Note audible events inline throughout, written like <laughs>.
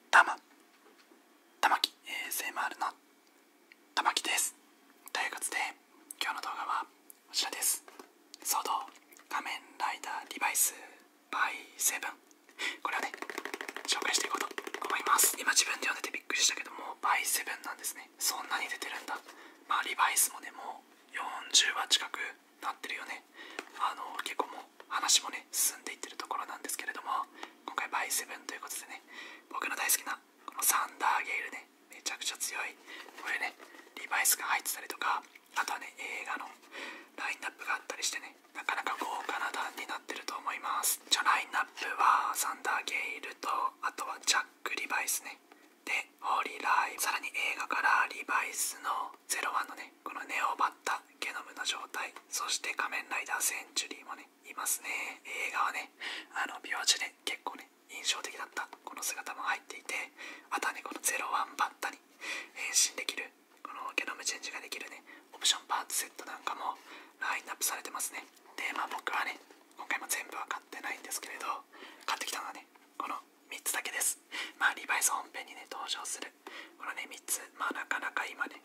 玉玉木 a もあるな。玉木ですということで今日の動画はこちらですソード仮面ライダーリバイスバイセブン。これをね紹介していこうと思います今自分で読んでてびっくりしたけどもバイセブンなんですねそんなに出てるんだまあリバイスもねもう40話近くなってるよねあの結構もう話もね進んでいってるところなんですけれども今回バイセブンということでね僕の大好きなこのサンダーゲイルねめちゃくちゃ強いこれねリバイスが入ってたりとかあとはね映画のラインナップがあったりしてねなかなか豪華な段になってると思いますじゃラインナップはサンダーゲイルとあとはジャック・リバイスねでホーリーライさらに映画からリバイスの01のねこのネオバッタゲノムの状態そして仮面ライダーセンチュリーもねいますね映画はねあの美容師で結構ね印象的だったこの姿も入っていてあとはねこの01バッタに変身できるこのゲノムチェンジができるねオプションパーツセットなんかもラインナップされてますねでまあ僕はね今回も全部はかってないんですけれど買ってきたのはねこの3つだけですまあリバイス本編にね登場するこのね3つまあなかなか今ね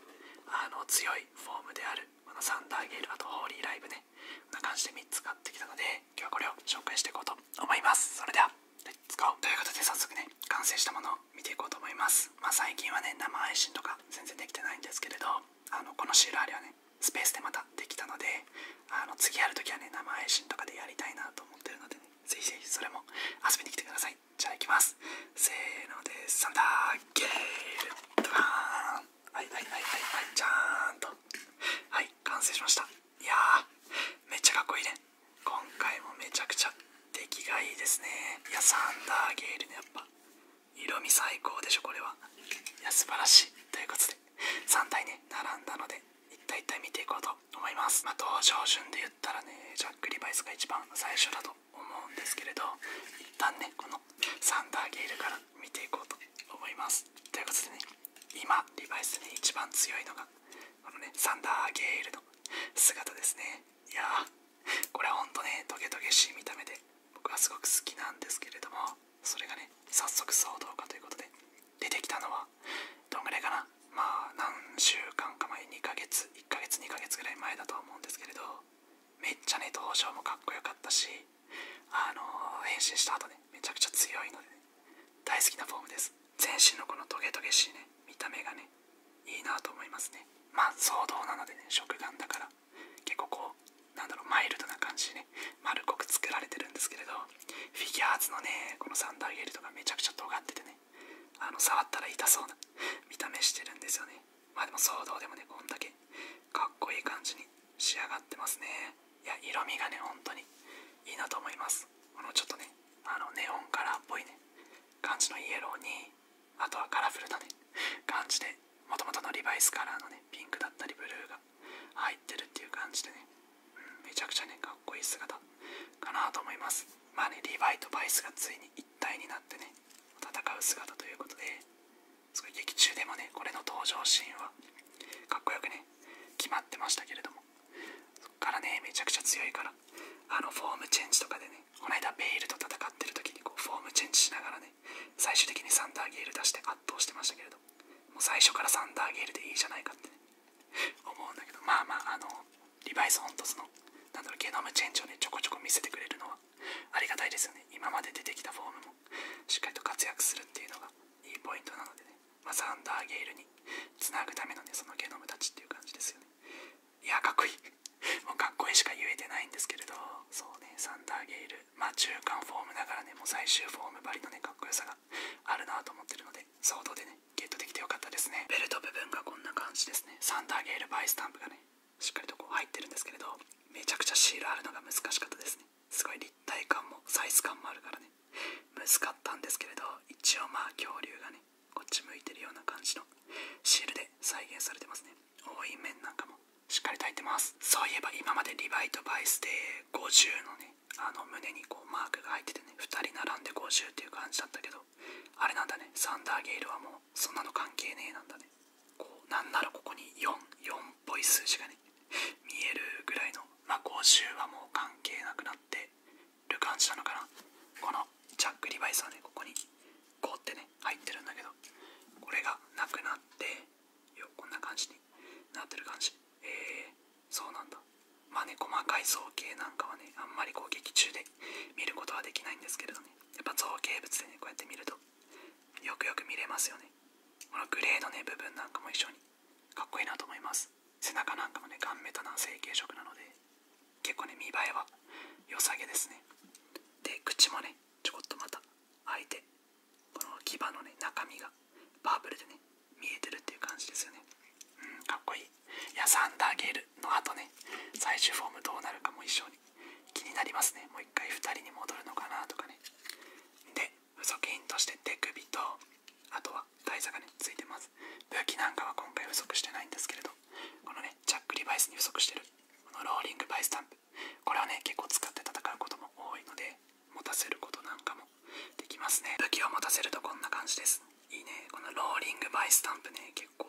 あの強いフォームであるこのサンダーゲールあとホーリーライブねこんな感じで3つ買ってきたので今日はこれを紹介していこうと思いますそれではレッツゴーということで早速ね完成したものを見ていこうと思いますまあ最近はね生配信とか全然できてないんですけれどあのこのシールあれはねスペースでまたできたのであの次やるときはね生配信とかでやりたいなと思ってるので、ぜひぜひそれも遊びに来てくださいじゃあ行きますせーのでサンダーゲールドバーンはいはいはいはいはいちゃーんとはい完成しましたいやーめっちゃかっこいいね今回もめちゃくちゃ出来がいいですねいやサンダーゲールねやっぱ色味最高でしょこれはいや素晴らしいということで3体ね並んだので一体一体見ていこうと思いますまあ、道場順で言ったらねジャック・リバイスが一番最初だと思うんですけれど一旦ねこのサンダーゲイルから見ていこうと思いますということでね今リバイスに一番強いのがこのねサンダーゲイルの姿ですねいやーこれはほんとねトゲトゲしい見た目で僕はすごく好きなんですけれどもそれがね早速騒動かということで出てきたのはどんぐらいかなまあ何週間か前2ヶ月1ヶ月2ヶ月ぐらい前だと思うんですけれどめっちゃね登場もかっこよかったしあのー、変身した後ねめちゃくちゃ強いので、ね、大好きなフォームです全身のこのトゲトゲしいね見た目がねいいなと思いますねまあ騒動なのでね食玩だから結構こうなんだろうマイルドな感じでね丸っこく作られてるんですけれどフィギュアーズのねこのサンダーゲルとかめちゃくちゃ尖っててねあの触ったら痛そうな見た目してるんですよねまでも騒動でもねこんだけかっこいい感じに仕上がってますねいや色味がね本当にいいなと思いますこのちょっとねあのネオンカラーっぽいね感じのイエローにあとはカラフルなね感じでもともとのリバイスカラーのねピンクだったりブルーが入ってるっていう感じでね、めちゃくちゃねかっこいい姿かなと思いますまあねリバイとバイスがつい一になってね戦う姿ということですごい劇中でもねこれの登場シーンはかっこよくね決まってましたけれどもそっからねめちゃくちゃ強いからあのフォームチェンジとかでねこの間ベイルと戦ってる時にこうフォームチェンジしながらね最終的にサンダーゲール出して圧倒してましたけれども最初からサンダーゲールでいいじゃないかってね思うんだけどまあまああのリバイス・ホントスのなんだろうゲノムチェンジをねちょこちょこ見せてくれるのはありがたいですよね今まで出てきたフォームもしっかりと活躍するっていうのがいいポイントなのでね、まあ、サンダーゲールにつなぐためのねそのゲノムたちっていう感じですよねいやかっこいいもうかっこいいしか言えてないんですけれどそうねサンダーゲールまあ中間フォームながらねもう最終フォームばりのねかっこよさがあるなと思ってるので相当でねゲットできてよかったですねベルト部分がこんな感じですねサンダーゲールバイスタンプがねしっかりとこう入ってるんですけれどめちゃくちゃシールあるのが難しかったですねすごい立体感もサイズ感もあるからね難かったんですけれど一応まあ恐竜がねこっち向いてるような感じのシールで再現されてますね多い面なんかもしっかり炊いてますそういえば今までリバイトバイスで50のねあの胸にこうマークが入っててね2人並んで50っていう感じだったけどあれなんだねサンダーゲイルはもうそんなの関係ねえなんだねこうなんならここに 4, 4っぽい数字がね見えるぐらいのまあ50はもう関係なくなってる感じなのかなこのジャック・リバイスはねここに5ってね入ってるんだけどこれがなくなってよこんな感じになってる感じえー、そうなんだまあね細かい造形なんかはねあんまりこう劇中で見ることはできないんですけれどねやっぱ造形物でねこうやって見るとよくよく見れますよねこのグレーのね部分なんかも一緒にかっこいいなと思います背中なんかもねガンメタな成型色なので結構ね見栄えは良さげですねで口もねちょこっとまた開いてこの牙のね中身がパープルでね見えてるっていう感じですよねかっこいい。や、サンダーゲールの後ね、最終フォームどうなるかも一緒に気になりますね。もう一回2人に戻るのかなとかね。で、付属品として手首と、あとは台座がね、ついてます。武器なんかは今回不足してないんですけれど、このね、チャックリバイスに不足してる、このローリングバイスタンプ。これはね、結構使って戦うことも多いので、持たせることなんかもできますね。武器を持たせるとこんな感じです。いいね、このローリングバイスタンプね、結結構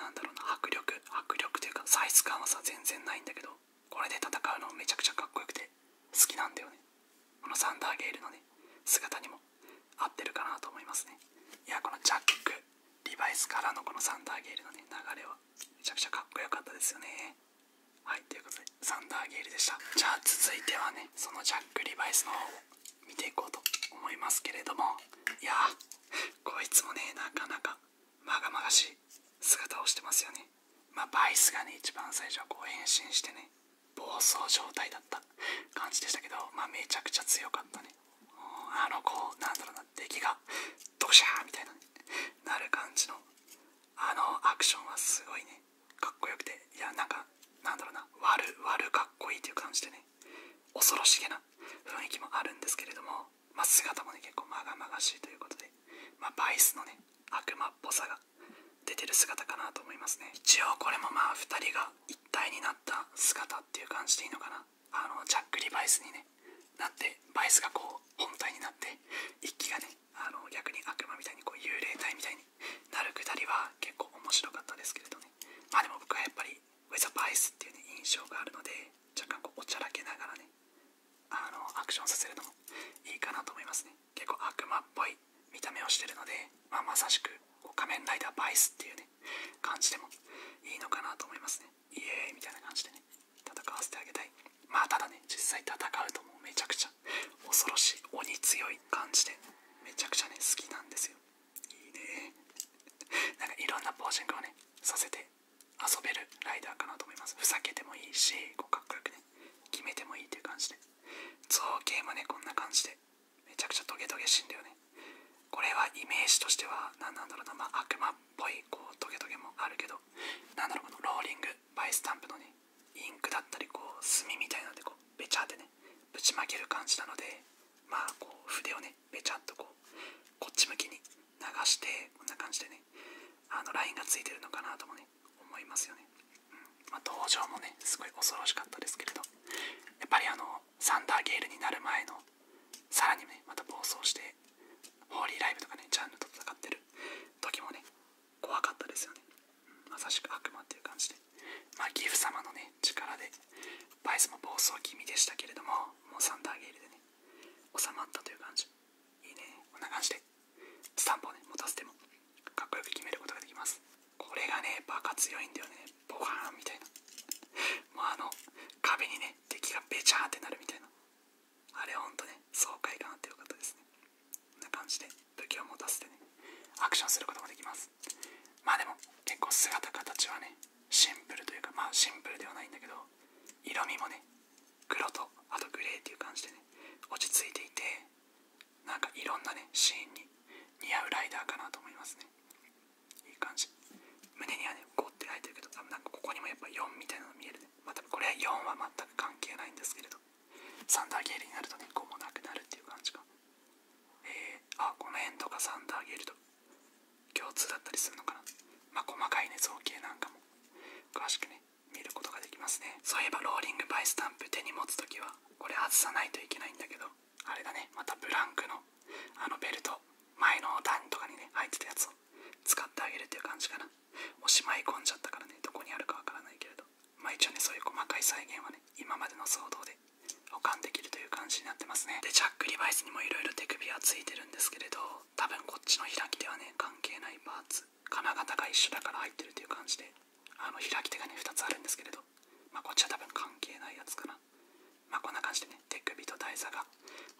なんだろうな迫力迫力というかサイズ感はさ全然ないんだけどこれで戦うのめちゃくちゃかっこよくて好きなんだよねこのサンダーゲールのね姿にも合ってるかなと思いますねいやこのジャックリバイスからのこのサンダーゲールのね流れはめちゃくちゃかっこよかったですよねはいということでサンダーゲールでしたじゃあ続いてはねそのジャック・リバイスの方を見ていこうと思いますけれどもいやこいつもねなかなかまがまがしい姿をしてますよねまあバイスがね一番最初はこう変身してね暴走状態だった感じでしたけどまめちゃくちゃ強かったねあのこうなんだろうな敵がドシャーみたいな、なる感じのあのアクションはすごいねかっこよくていやなんかなんだろうな悪悪かっこいいという感じでね恐ろしげな雰囲気もあるんですけれども、ま姿もね結構まがまがしいということで、まあ、バイスのね悪魔っぽさが出てる姿かなと思いますね一応これもまあ2人が一体になった姿っていう感じでいいのかなあのジャック・リバイスにねなってバイスがこう本体になって一気がねあの逆に悪魔みたいにこう幽霊体みたいになるくりは結構面白かったですけれどねまあでも僕はやっぱりウェザーバイスっていう、ね、印象があるので若干こうおちゃらけながらねあのアクションさせるのもいいかなと思いますね結構悪魔っぽい見た目をしてるので、ままさしく仮面ライダーバイスっていうね感じでもいいのかなと思いますねイエーイみたいな感じでね戦わせてあげたいまあただね実際戦うともうめちゃくちゃ恐ろしい鬼強い感じでめちゃくちゃね好きなんですよいいね <laughs> なんかいろんなポージングをねさせて遊べるライダーかなと思いますふざけてもいいしこうかっこよくね決めてもいいという感じで造形もねこんな感じでめちゃくちゃトゲトゲ死んだよねこれはイメージとしては何なんだろうな、ま悪魔っぽいこうトゲトゲもあるけど何だろうこのローリングバイスタンプのねインクだったりこう墨みたいなのでこうべちゃってねぶちまける感じなのでまあこう筆をねべちゃっとこうこっち向きに流してこんな感じでねあのラインがついてるのかなともね思いますよね、うん、まあ、登場もねすごい恐ろしかったですけれどやっぱりあのサンダーゲールになる前のさらにねまた暴走してホーリーライブとかねジャンルと戦ってる時もね怖かったですよね。まさしく悪魔っていう感じで。まあ、ギフ様のね、力で、バイスも暴走気味でしたけれども、もうサンダーゲールでね、収まったという感じ。いいね、こんな感じで、スタンプをね、持たせても、かっこよく決めることができます。これがね、バカ強いんだよね。ボカーンみたいな。もうあの、壁にね、敵がベチャーってなるみたいな。あれほんとね、爽快感あってよかったですね。こんな感じで時を持たせてねアクションすることもできますまあでも結構姿形はねシンプルというかまあシンプルではないんだけど色味もね黒とあとグレーっていう感じでね落ち着いていてなんかいろんなねシーンに似合うライダーかなと思いますねいい感じ胸にはね5って入ってるけど多分なんかここにもやっぱ4みたいなの見えるねまた、これは4は全く関係ないんですけれどサンダーゲールになるとね、こうもなくなるっていう感じか。えー、あ、この辺とかサンダーゲールと共通だったりするのかな。まあ、細かいね、造形なんかも詳しくね、見ることができますね。そういえば、ローリングバイスタンプ手に持つ時は、これ外さないといけないんだけど、あれだね、またブランクのあのベルト、前の段とかにね、入ってたやつを使ってあげるっていう感じかな。もしまい込んじゃったからねどこにあるかわからないけれどまあ一応ねそういう細かい再現はね今までの騒動で保管できるという感じになってますねでジャック・リバイスにもいろいろ手首はついてるんですけれど多分こっちの開き手はね関係ないパーツ金型が一緒だから入ってるという感じであの開き手がね2つあるんですけれどまあこっちは多分関係ないやつかなまあこんな感じでね手首と台座が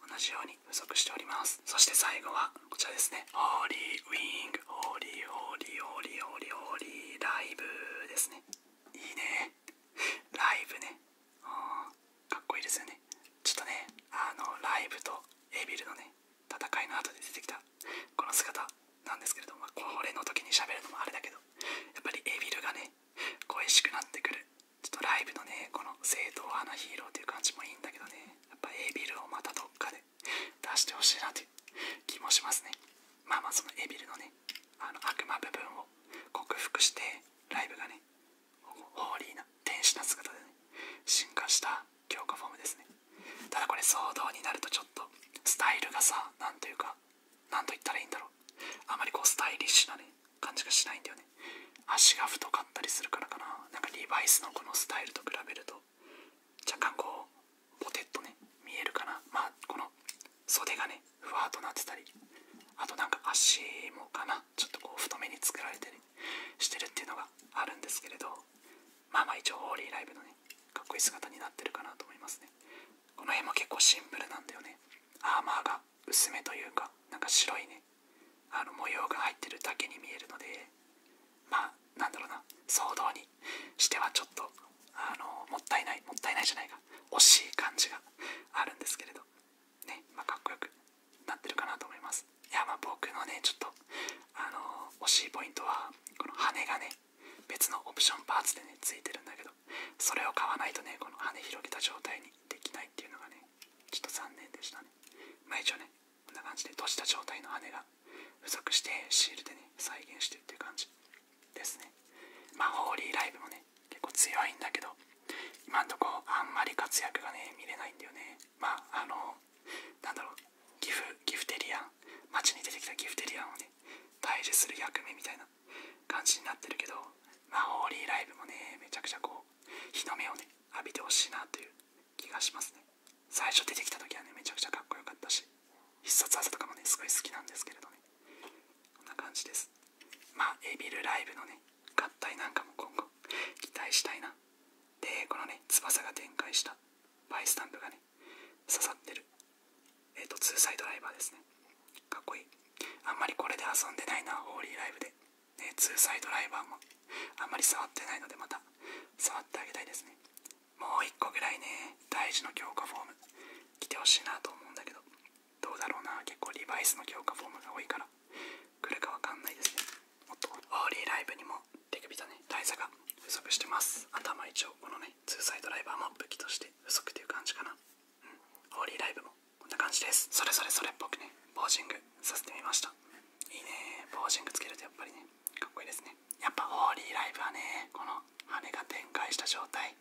同じように不足しておりますそして最後はこちらですね。ホーリーウィング、ホーリーホーリーホーリーホーリーホーリーライブですね。いいね。ライブね。かっこいいですよね。ちょっとね、あの、ライブとエビルのね、戦いの後で出てきたこの姿なんですけれども、これの時に喋るのもあれだけど、やっぱりエビルがね、恋しくなってくる。ちょっとライブのね、この正統派なヒーローっていう感じもいいんだけどね、やっぱエビルをまたどっかで出してほしいなって気もしますねまあまあそのエビルのねあの悪魔部分を克服してライブがねホーリーな天使な姿でね進化した強化フォームですねただこれ騒動になるとちょっとスタイルがさ何というか何と言ったらいいんだろうあまりこうスタイリッシュなね感じがしないんだよね足が太かったりするからかななんかリバイスのこのスタイルと比べると若干こうポテッとね見えるかなまあこの袖がねふわっとなってたりあとなんか足もかなちょっとこう太めに作られて、ね、してるっていうのがあるんですけれどまあまあ一応ホーリーライブのねかっこいい姿になってるかなと思いますねこの辺も結構シンプルなんだよねアーマーが薄めというかなんか白いねあの模様が入ってるだけに見えるのでまあなんだろうな騒動にしてはちょっとあのもったいないもったいないじゃないか、惜しい感じがあるんですけれどねまあかっこよくなってるかなと思いますいやまあ僕のねちょっとあの惜しいポイントはこの羽がね別のオプションパーツでねついてるんだけどそれを買わないとねこの羽広げた状態にできないっていうのがねちょっと残念でしたねまあ一応ねこんな感じで閉じた状態の羽が付属してシールでね再現してるっていう感じですねまあホーリーライブもね結構強いんだけど今んとこあんまり活躍がね見れないんだよねまああのなんだろうギフギフテリアン街に出てきたギフテリアンをね退治する役目みたいな感じになってるけどまあホーリーライブもねめちゃくちゃこう日の目をね浴びてほしいなという気がしますね最初出てきた時はねめちゃくちゃかっこよかったし必殺技とかもねすごい好きなんですけれどねこんな感じですまあエビルライブのね合体なんかも今後期待したいなでこのね翼が展開したバイスタンプがね刺さってるえっ、とツーサイドライバーですねかっこいいあんまりこれで遊んでないなホーリーライブでね、ツーサイドライバーもあんまり触ってないのでまた触ってあげたいですねもう1個ぐらいね大事の強化フォーム来てほしいなと思うんだけどどうだろうな結構リバイスの強化フォームが多いから来るかわかんないですねもっとオーリーライブにも手首とね大差が不足してます頭一応このねツーサイドライバーも武器として不足っていう感じかなうんオーリーライブもこんな感じですそれぞれそれっぽくねポージングさせてみましたいいねポージングつけるとやっぱりねかっこいいですねやっぱホーリーライブはねこの羽が展開した状態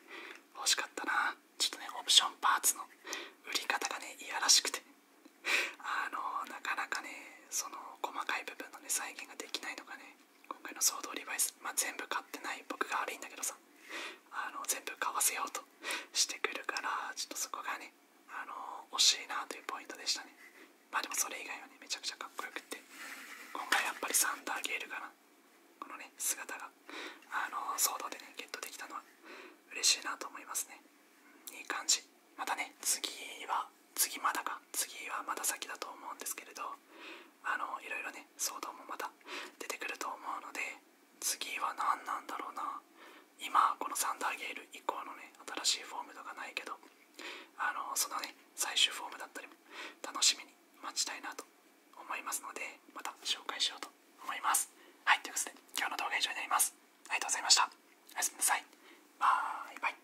欲しかったなちょっとねオプションパーツの売り方がねいやらしくてあのなかなかねその細かい部分のね再現ができないのがね今回のソードリバイス、まあ、全部買ってない僕が悪いんだけどさあの全部買わせようとしてくるからちょっとそこがねあの惜しいなというポイントでしたねまあでもそれ以外はねめちゃくちゃかっこよくって今回やっぱりサンダーゲールかなこのね姿があのソーでねゲットできたのは嬉しいなと思いますねいい感じまたね次は次まだか次はまだ先だと思うんですけれどあのいろいろね騒動もまた出てくると思うので次は何なんだろうな今このサンダーゲール以降のね新しいフォームとかないけどあのそのね最終フォームだったりも楽しみに待ちたいなと思いますのでまた紹介しようと思いますはいということで今日の動画は以上になりますありがとうございましたおやすみなさいバイバイ